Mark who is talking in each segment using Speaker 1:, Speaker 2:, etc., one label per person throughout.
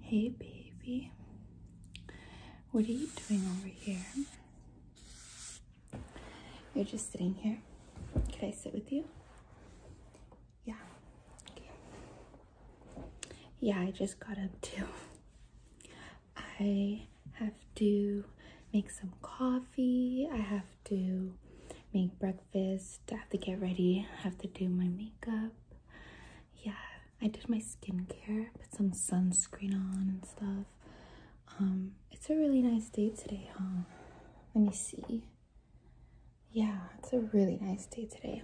Speaker 1: Hey baby,
Speaker 2: what are you doing over here? You're just sitting here. Could I sit with you? Yeah. Yeah, I just got up too. I have to make some coffee. I have to make breakfast. I have to get ready. I have to do my makeup. Yeah, I did my skincare, put some sunscreen on and stuff. Um, it's a really nice day today, huh? Let me see. Yeah, it's a really nice day today.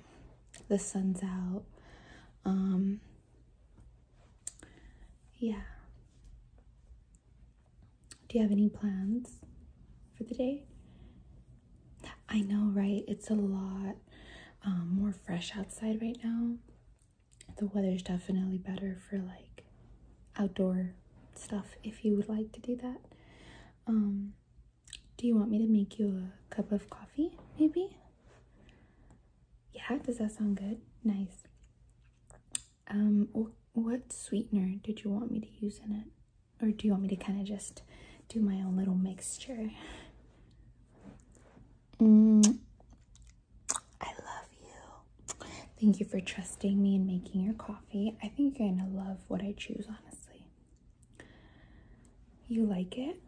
Speaker 2: The sun's out. Um, yeah. Do you have any plans for the day? I know, right? It's a lot um, more fresh outside right now. The weather's definitely better for like outdoor stuff if you would like to do that. Um, do you want me to make you a cup of coffee, maybe? Yeah, does that sound good? Nice. Um, what sweetener did you want me to use in it? Or do you want me to kind of just do my own little mixture? Mm. I love you. Thank you for trusting me and making your coffee. I think you're gonna love what I choose, honestly. You like it?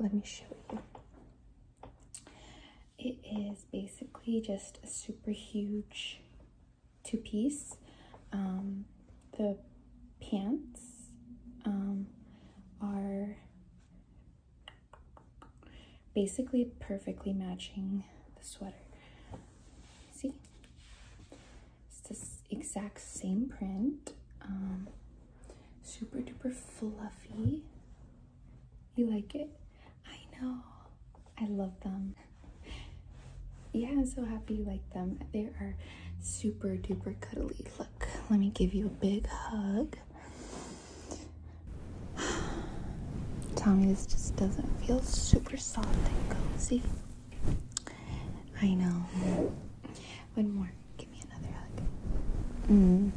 Speaker 2: Let me show you. It is basically just a super huge two-piece. Um, the pants um, are basically perfectly matching the sweater. See? It's the exact same print. Um, Super duper fluffy. You like it? I know. I love them. Yeah, I'm so happy you like them. They are super duper cuddly. Look, let me give you a big hug. Tommy, this just doesn't feel super soft and cozy. I know. One more. Give me another hug. Mm,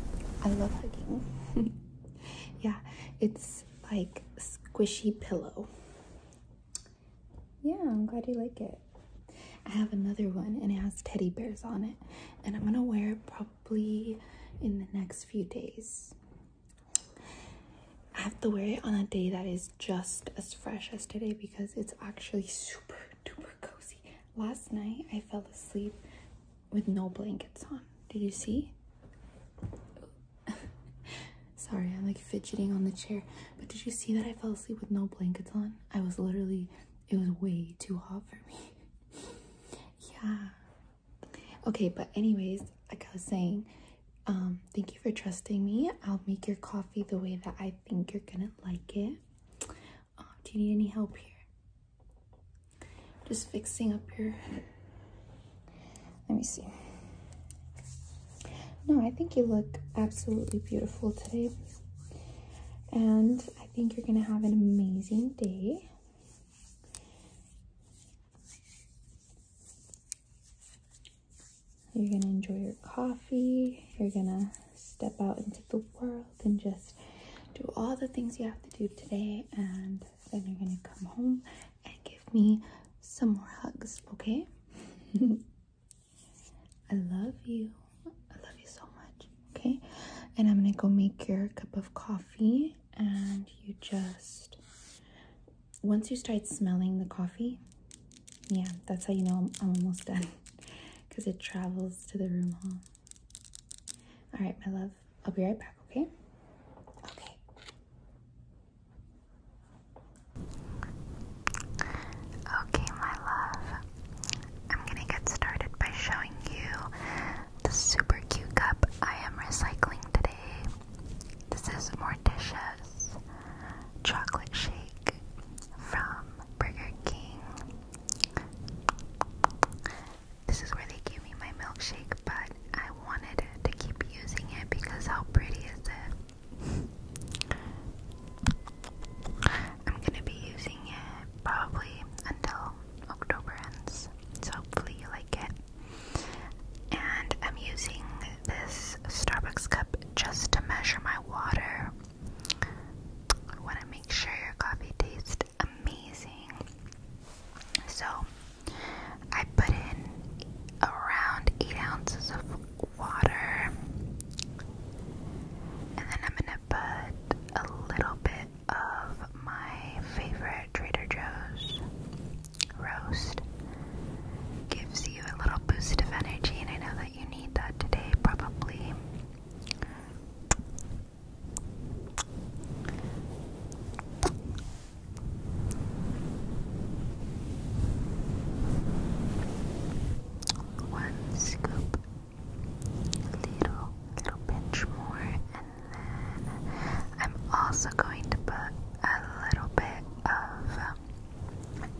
Speaker 2: I love hugging. yeah, it's like squishy pillow. Yeah, I'm glad you like it. I have another one and it has teddy bears on it, and I'm gonna wear it probably in the next few days. I have to wear it on a day that is just as fresh as today because it's actually super duper cozy. Last night I fell asleep with no blankets on. Did you see? Sorry, I'm like fidgeting on the chair. But did you see that I fell asleep with no blankets on? I was literally, it was way too hot for me. yeah. Okay, but anyways, like I was saying, um, thank you for trusting me. I'll make your coffee the way that I think you're gonna like it. Oh, do you need any help here? Just fixing up your. Let me see. No, I think you look absolutely beautiful today. And I think you're going to have an amazing day. You're going to enjoy your coffee. You're going to step out into the world and just do all the things you have to do today. And then you're going to come home and give me some more hugs, okay? I love you. I love you so much, okay? And I'm going to go make your cup of coffee and you just once you start smelling the coffee yeah that's how you know I'm, almost done because it travels to the room hall. All right, my love. I'll be right back, okay? Okay.
Speaker 1: Okay, my love. I'm gonna get started by showing you the super cute cup I am recycling today. This is Morticia's chocolate shake from Burger King. This is where they gave me my milkshake, but I wanted to keep using it because how pretty is it? I'm gonna be using it probably until October ends, so hopefully you like it. And I'm using this Starbucks cup just to measure my water. I want to make sure your coffee tastes amazing. So, I put in around 8 ounces of water, and then I'm going to put a little bit of my favorite Trader Joe's roast. Gives you a little boost of energy, and I know that you need that today, probably. One scoop, little, little pinch more, and then I'm also going to put a little bit of um,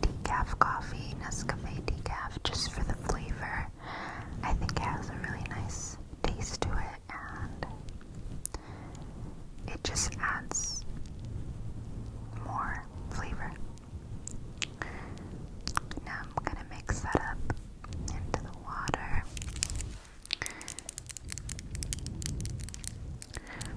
Speaker 1: decaf coffee, Nescafe decaf, just for the flavor. I think it has a really nice taste to it and it just adds more flavor. Now I'm going to mix that up into the water.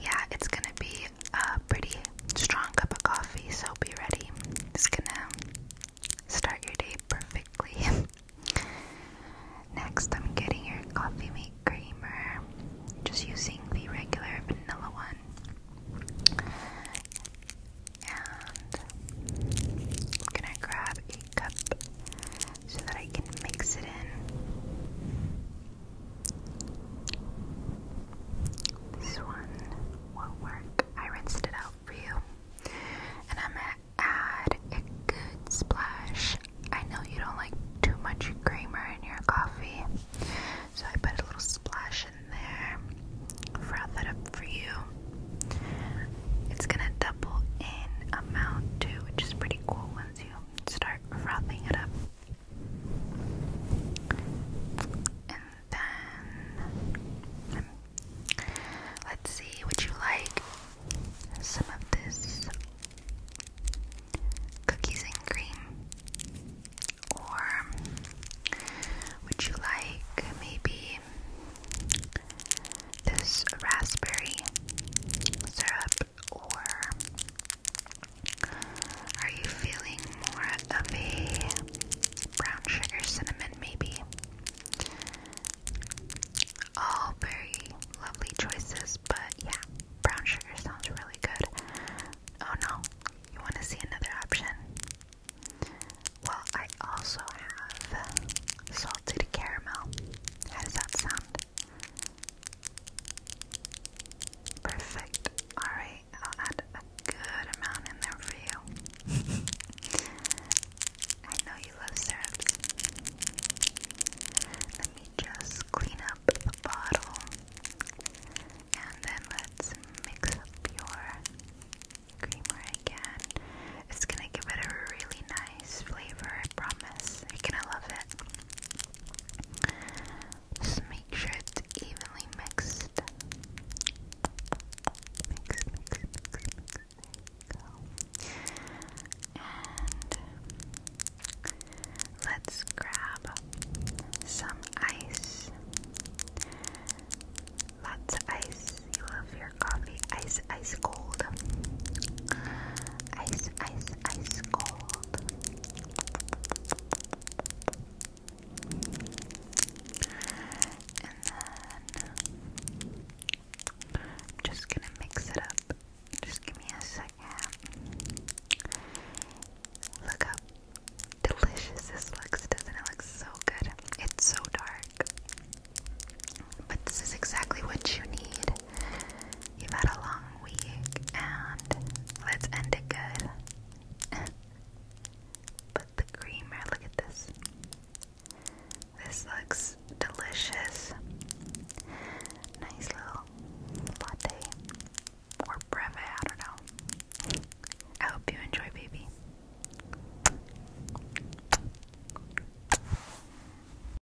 Speaker 1: yeah, it's gonna be a pretty strong cup of coffee, so be ready. It's gonna start your day perfectly. Next, I'm getting your coffee maker creamer, just using the regular vanilla one. And gonna grab a cup so that I can mix it in. This one will work. I rinsed it out for you. And I'm gonna add a good splash. I know you don't like too much creamer in your coffee. So I put a little splash in there. Froth that up for you. It's gonna double in amount too, which is pretty cool once you start frothing it up. And then let's see, would you like some of this cookies and cream? Or would you like maybe this raspberry syrup? or are you feeling more of a brown sugar cinnamon maybe? All very lovely choices, but yeah, brown sugar sounds really good. Oh no, you want to see another option? Well, I also have salted caramel. How does that sound? Perfect. Alright, I'll add a good amount in there for you. I know you love syrups. Let me just clean up the bottle and then let's mix up your creamer again. It's gonna give it a really nice flavor, I promise. You're gonna love it. Just make sure it's evenly mixed. And let's grab some ice. Lots of ice. You love your coffee. Ice, ice cold. Ice, ice, ice cold. And then I'm just gonna mix it up. Just give me a second. Look how delicious this looks, doesn't it? Looks so good. It's so dark. But this is exactly what you need You've had a long week, and let's end it good. But the creamer, look at this. This looks delicious. Nice little latte or brevet, I don't know. I hope you enjoy, baby.